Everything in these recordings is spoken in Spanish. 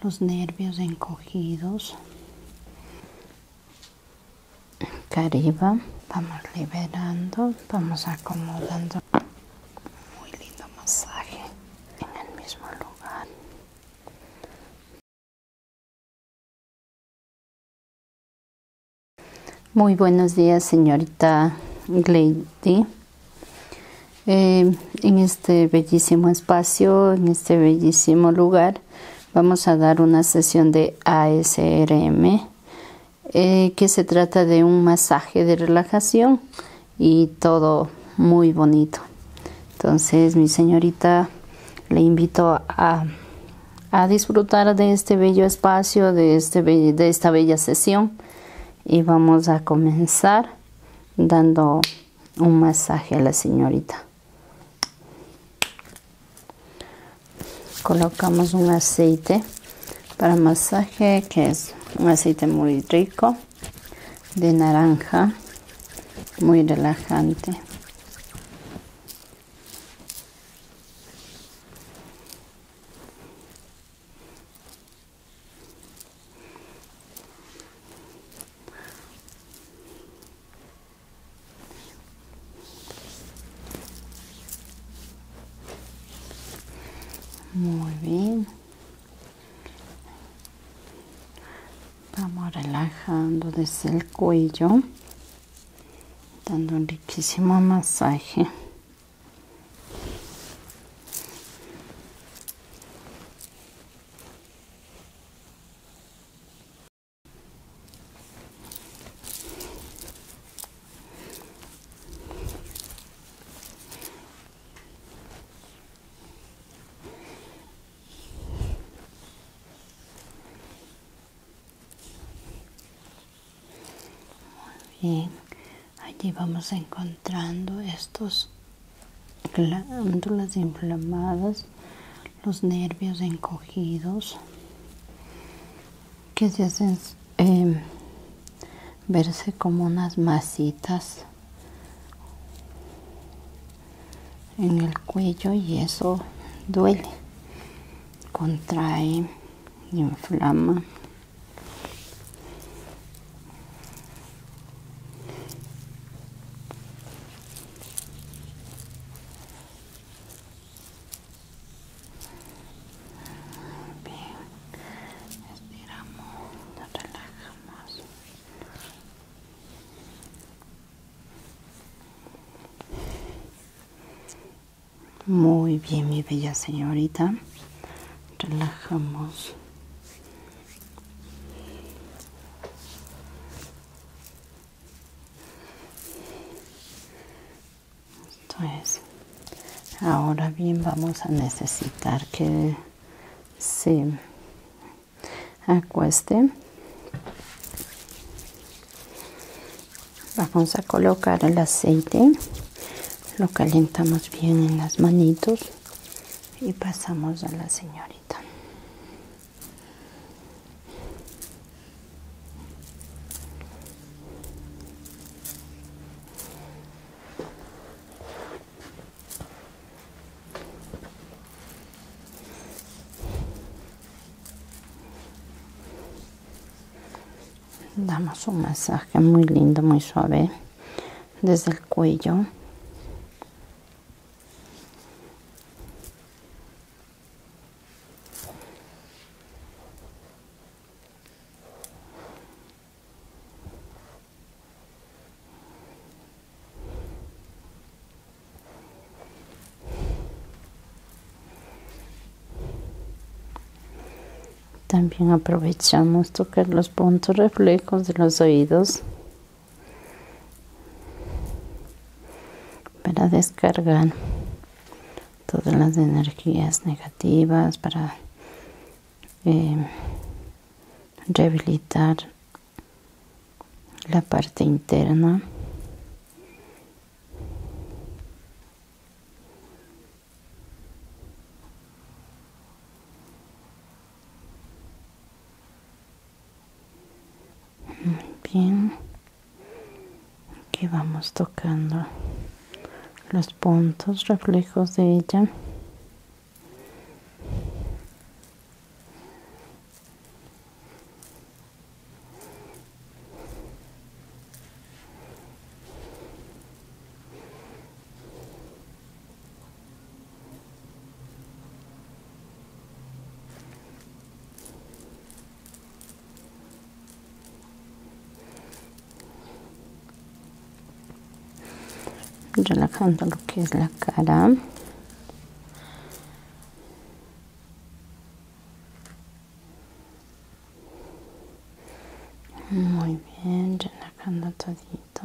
los nervios encogidos. Cariba, vamos liberando, vamos acomodando. Muy lindo masaje en el mismo lugar. Muy buenos días, señorita Glady. Eh, en este bellísimo espacio, en este bellísimo lugar, vamos a dar una sesión de ASRM, eh, que se trata de un masaje de relajación y todo muy bonito. Entonces, mi señorita, le invito a, disfrutar de este bello espacio, de, este de esta bella sesión. Y vamos a comenzar dando un masaje a la señorita. Colocamos un aceite para masaje que es un aceite muy rico de naranja, muy relajante. Muy bien. Vamos relajando desde el cuello, dando un riquísimo masaje bien, allí vamos encontrando estos glándulas inflamadas, los nervios encogidos que se hacen em, verse como unas masitas en el cuello y eso duele, contrae, inflama. Bien, estiramos, relajamos. Muy bien, mi bella señorita. Relajamos Ahora bien vamos a necesitar que se acueste. Vamos a colocar el aceite. Lo calentamos bien en las manitos y pasamos a la señorita damos un masaje muy lindo muy suave desde el cuello también aprovechamos tocar los puntos reflejos de los oídos para descargar todas las energías negativas, para eh, rehabilitar la parte interna bien aquí vamos tocando los puntos reflejos de ella relajando lo que es la cara muy bien relajando todito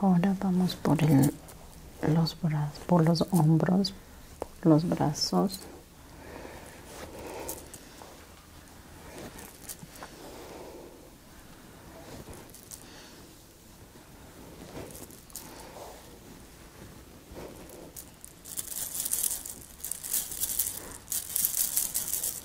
ahora vamos por los brazos por los hombros por los brazos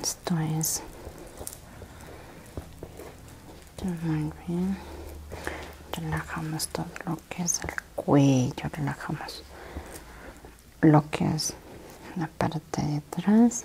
Esto es muy bien. Relajamos todo lo que es el cuello, relajamos lo que es la parte de atrás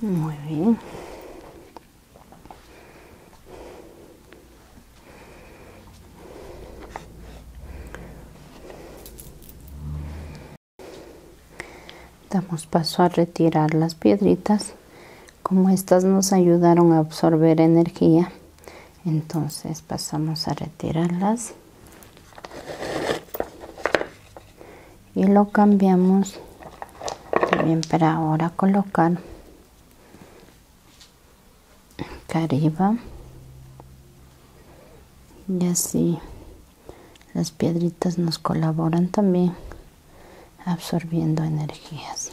Muy bien. Damos paso a retirar las piedritas. Como estas nos ayudaron a absorber energía, entonces pasamos a retirarlas y lo cambiamos también para ahora colocar acá y así las piedritas nos colaboran también absorbiendo energías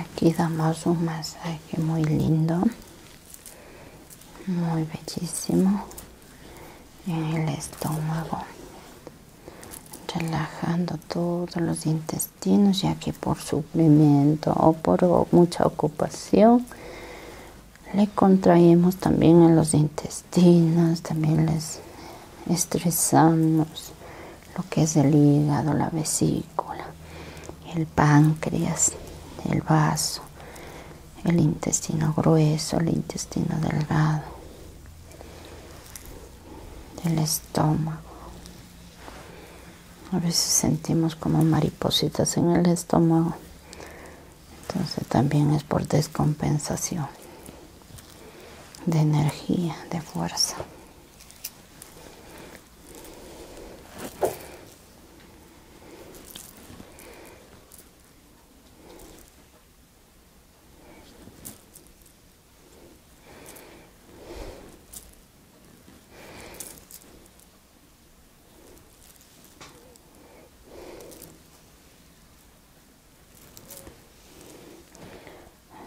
Aquí damos un masaje muy lindo, muy bellísimo en el estómago, relajando todos los intestinos, ya que por sufrimiento o por mucha ocupación le contraemos también en los intestinos, también les estresamos lo que es el hígado, la vesícula, el páncreas, el vaso, el intestino grueso, el intestino delgado, el estómago. A veces sentimos como maripositas en el estómago. Entonces también es por descompensación de energía, de fuerza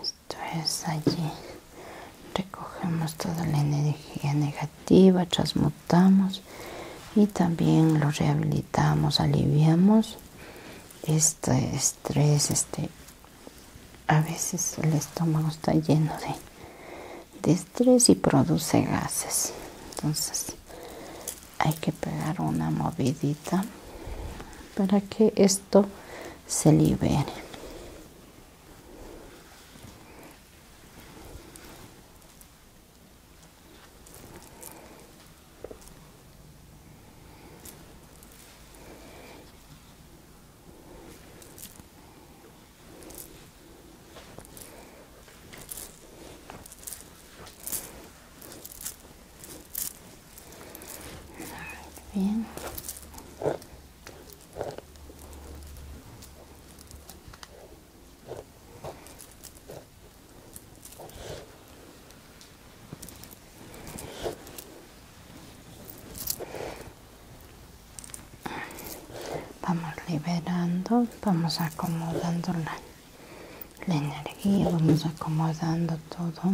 esto es allí recogemos toda la energía negativa transmutamos y también lo rehabilitamos aliviamos este estrés este a veces el estómago está lleno de, de estrés y produce gases entonces hay que pegar una movidita para que se libere bien. Vamos liberando, vamos acomodando la energía, vamos acomodando todo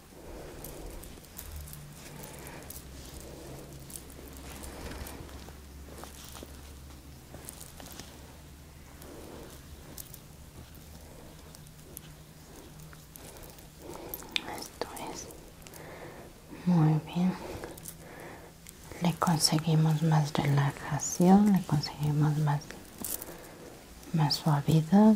Esto es muy bien. Le conseguimos más relajación, le conseguimos más, más suavidad.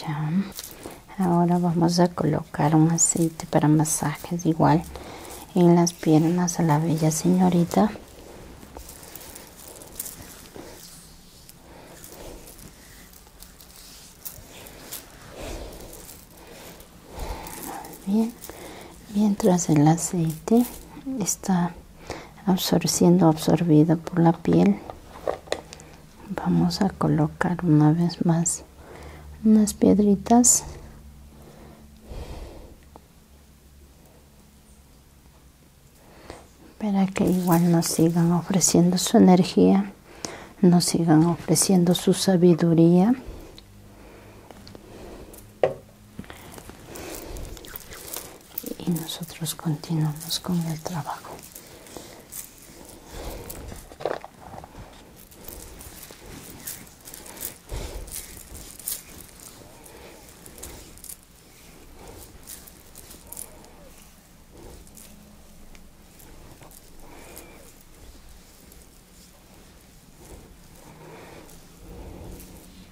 Ya. Ahora vamos a colocar un aceite para masajes igual en las piernas a la bella señorita. Bien, mientras el aceite está siendo absorbido por la piel vamos a colocar una vez más unas piedritas para que igual nos sigan ofreciendo su energía nos sigan ofreciendo su sabiduría y nosotros continuamos con el trabajo.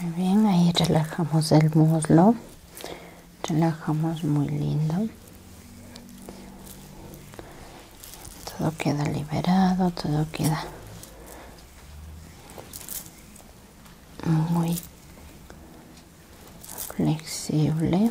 Muy bien, ahí relajamos el muslo, relajamos muy lindo. Todo queda liberado, todo queda muy flexible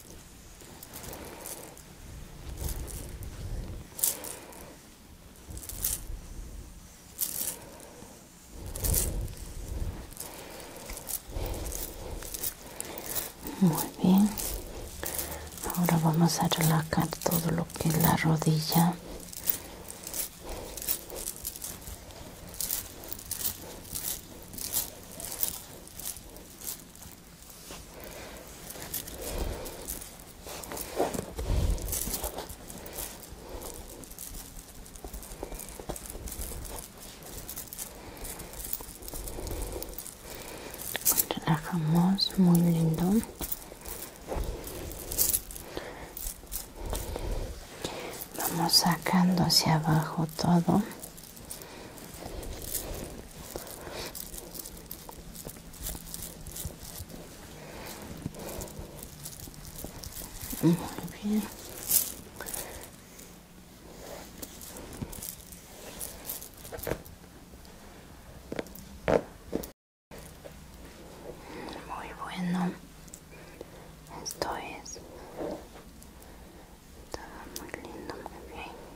Muy bien. Ahora vamos a relajar todo lo que es la rodilla relajamos muy lindo vamos sacando hacia abajo todo muy bien. Muy bueno. Esto es. muy lindo, muy bien.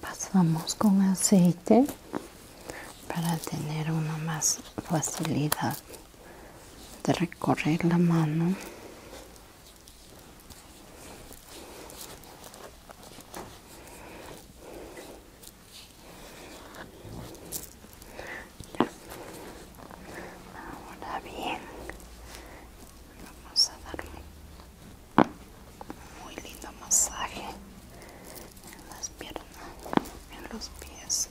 Pasamos con aceite para tener una más facilidad de recorrer la mano ahora bien vamos a dar un muy lindo masaje en las piernas en los pies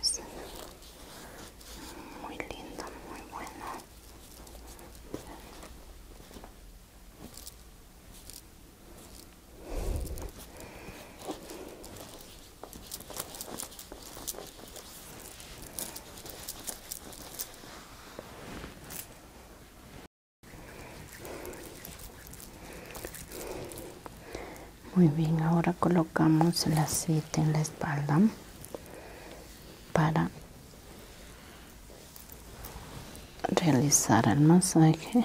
Esto es muy lindo, muy bueno. Muy bien, ahora colocamos la cita en la espalda para realizar el masaje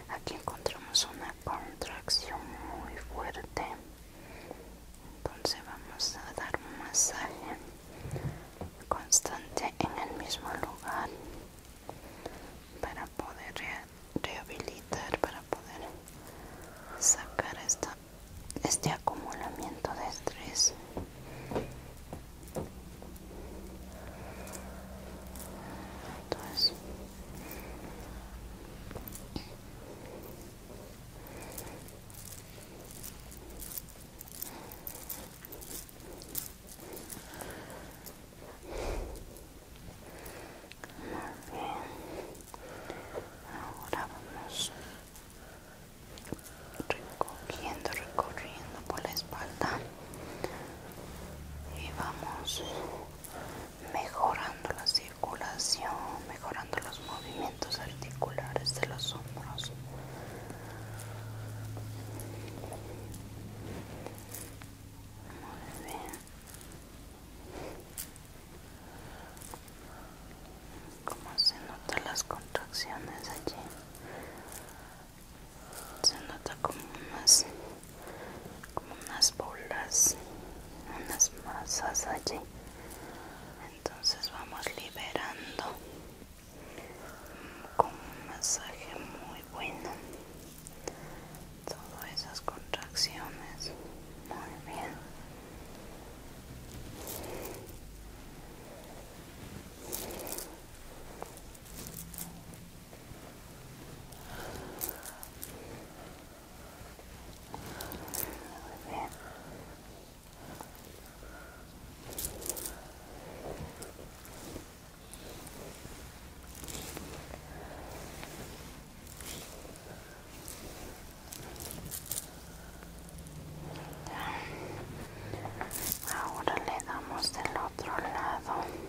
aquí encontramos una contracción muy fuerte entonces vamos a dar un masaje constante en el mismo lugar para poder rehabilitar para poder sacar esta, este acumulamiento de estrés entonces Ahora vamos recorriendo, recorriendo por la espalda y vamos mejorando la circulación, mejorando los movimientos articulares de los hombros. Muy bien. Como se notan las contracciones allí, se nota como más como unas bolas, unas masas allí. Entonces vamos liberando con un masaje muy bueno todas esas contracciones. Muy bien. Ahora le damos del otro lado.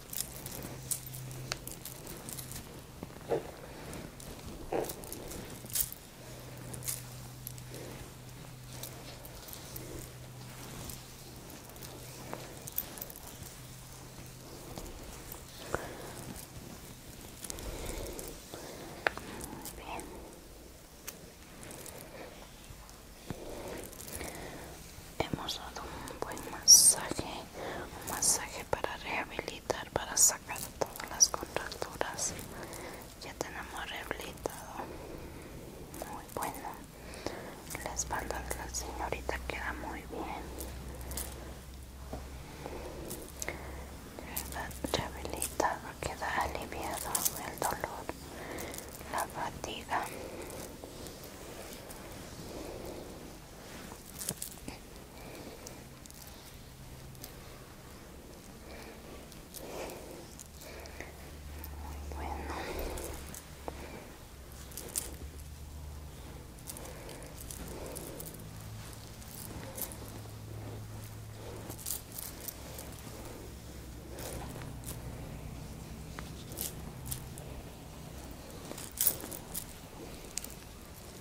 Hemos dado un buen masaje un masaje para rehabilitar, para sacar todas las contracturas. Ya tenemos rehabilitado. Muy bueno. La espalda de la señorita queda muy bien. Rehabilitado, queda aliviado el dolor, la fatiga. Muy bueno.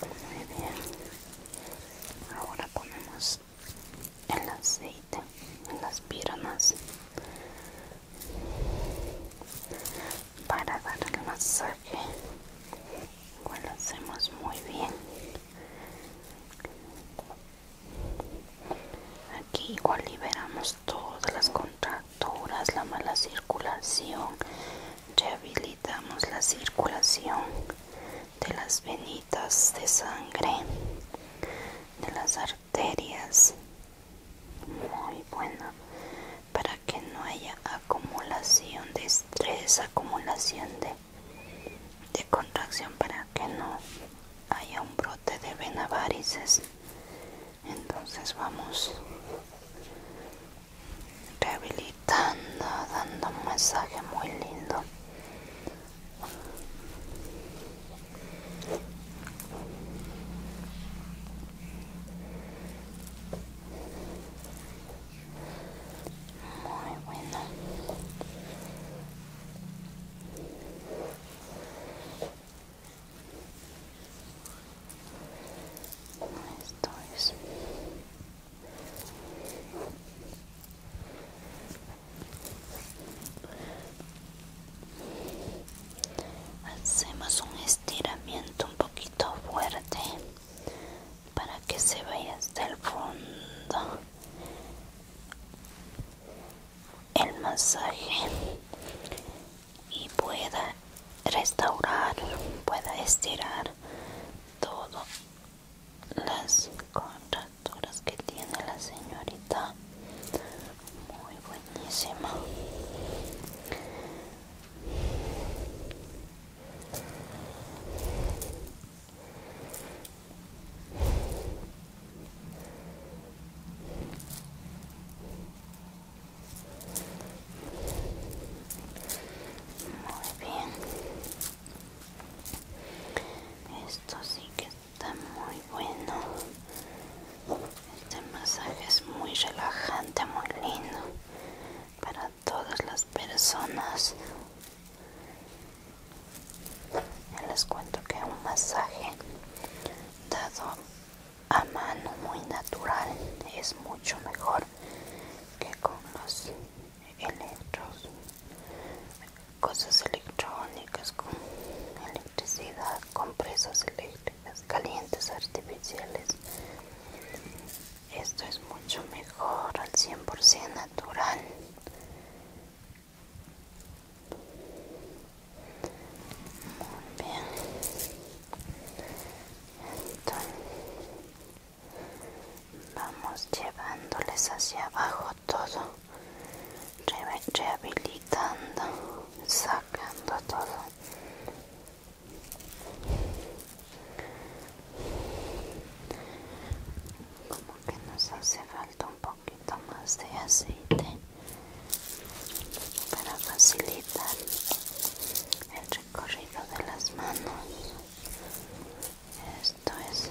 muy bien ahora ponemos el aceite en las piernas para dar el masaje lo hacemos muy bien aquí igual liberamos todas las contracturas la mala circulación rehabilitamos la circulación de las venitas de sangre de las arterias muy buena, para que no haya acumulación de estrés acumulación de, de contracción para que no haya un brote de venavarices entonces vamos rehabilitando, dando un mensaje muy lindo. Muy bueno. Hacemos un estiramiento un poquito fuerte para que se vaya hasta el fondo el masaje y pueda restaurar, pueda estirar todo las contracturas que tiene la señorita. Muy buenísima. Muy bien. Esto sí que está muy bueno. Este masaje es muy relajante, muy lindo para todas las personas. les cuento que un masaje dado a mano muy natural es mucho mejor que con los electros cosas electrónicas con electricidad compresas eléctricas calientes artificiales esto es mucho mejor al 100% natural muy bien Vamos llevándoles hacia abajo todo, rehabilitando, sacando todo. Como que nos hace falta un poquito más de aceite para facilitar el recorrido de las manos esto es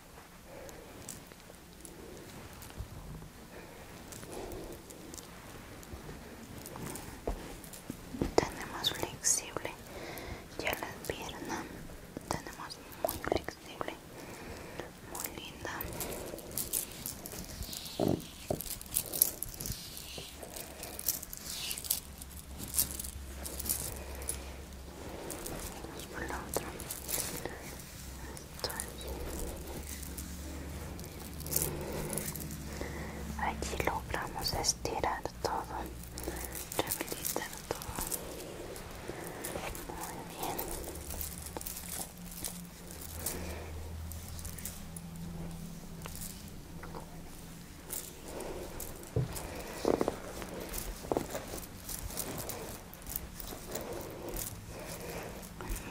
tenemos flexible ya las piernas, tenemos muy flexible muy linda por la otra. Aquí logramos estirar todo, rehabilitar todo. Muy bien.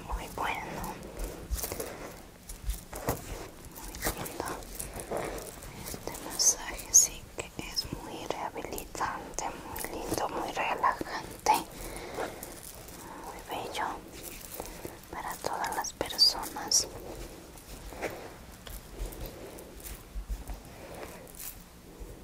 Muy bueno. Muy lindo. Este masaje sí que es muy rehabilitante, muy lindo, muy relajante, muy bello para todas las personas.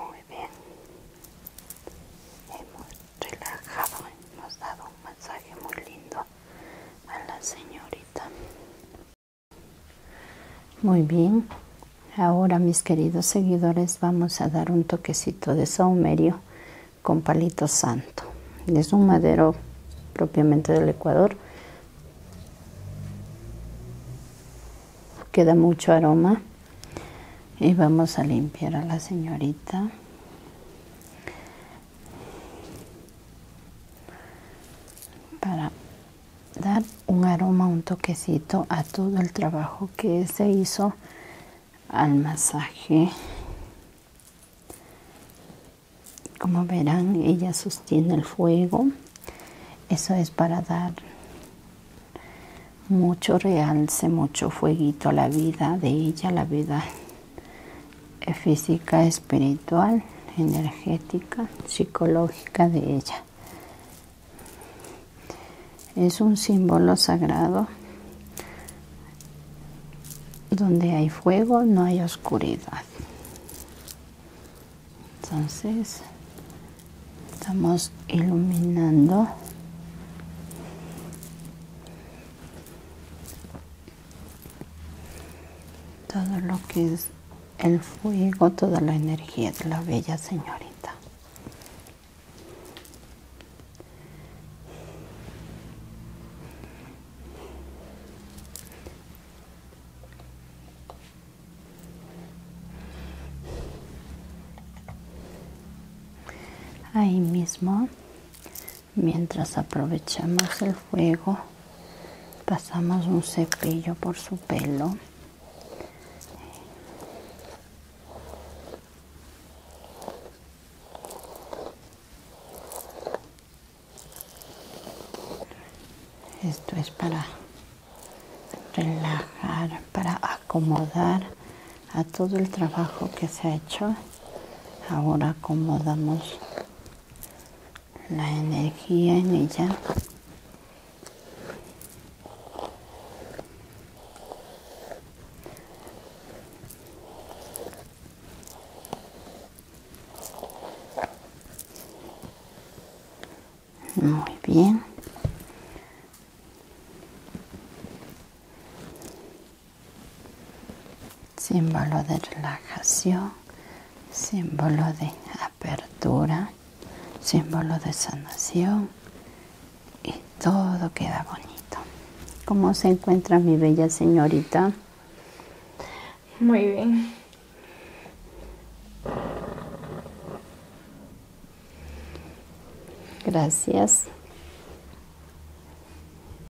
Muy bien, hemos relajado, hemos dado un masaje muy lindo a la señorita. Muy bien. Ahora, mis queridos seguidores, vamos a dar un toquecito de saumerio con palito santo. Es un madero propiamente del Ecuador. Queda mucho aroma. Y vamos a limpiar a la señorita para dar un aroma, un toquecito a todo el trabajo que se hizo al masaje. Como verán, ella sostiene el fuego. Eso es para dar mucho realce, mucho fueguito a la vida de ella, la vida física, espiritual, energética, psicológica de ella. Es un símbolo sagrado donde hay fuego no hay oscuridad. Entonces estamos iluminando todo lo que es el fuego, toda la energía de la bella señorita. Ahí mismo mientras aprovechamos el fuego pasamos un cepillo por su pelo esto es para relajar para acomodar a todo el trabajo que se ha hecho Ahora acomodamos la energía en ella. Muy bien símbolo de relajación, símbolo de apertura, símbolo de sanación y todo queda bonito. ¿Cómo se encuentra mi bella señorita? Muy bien. Gracias.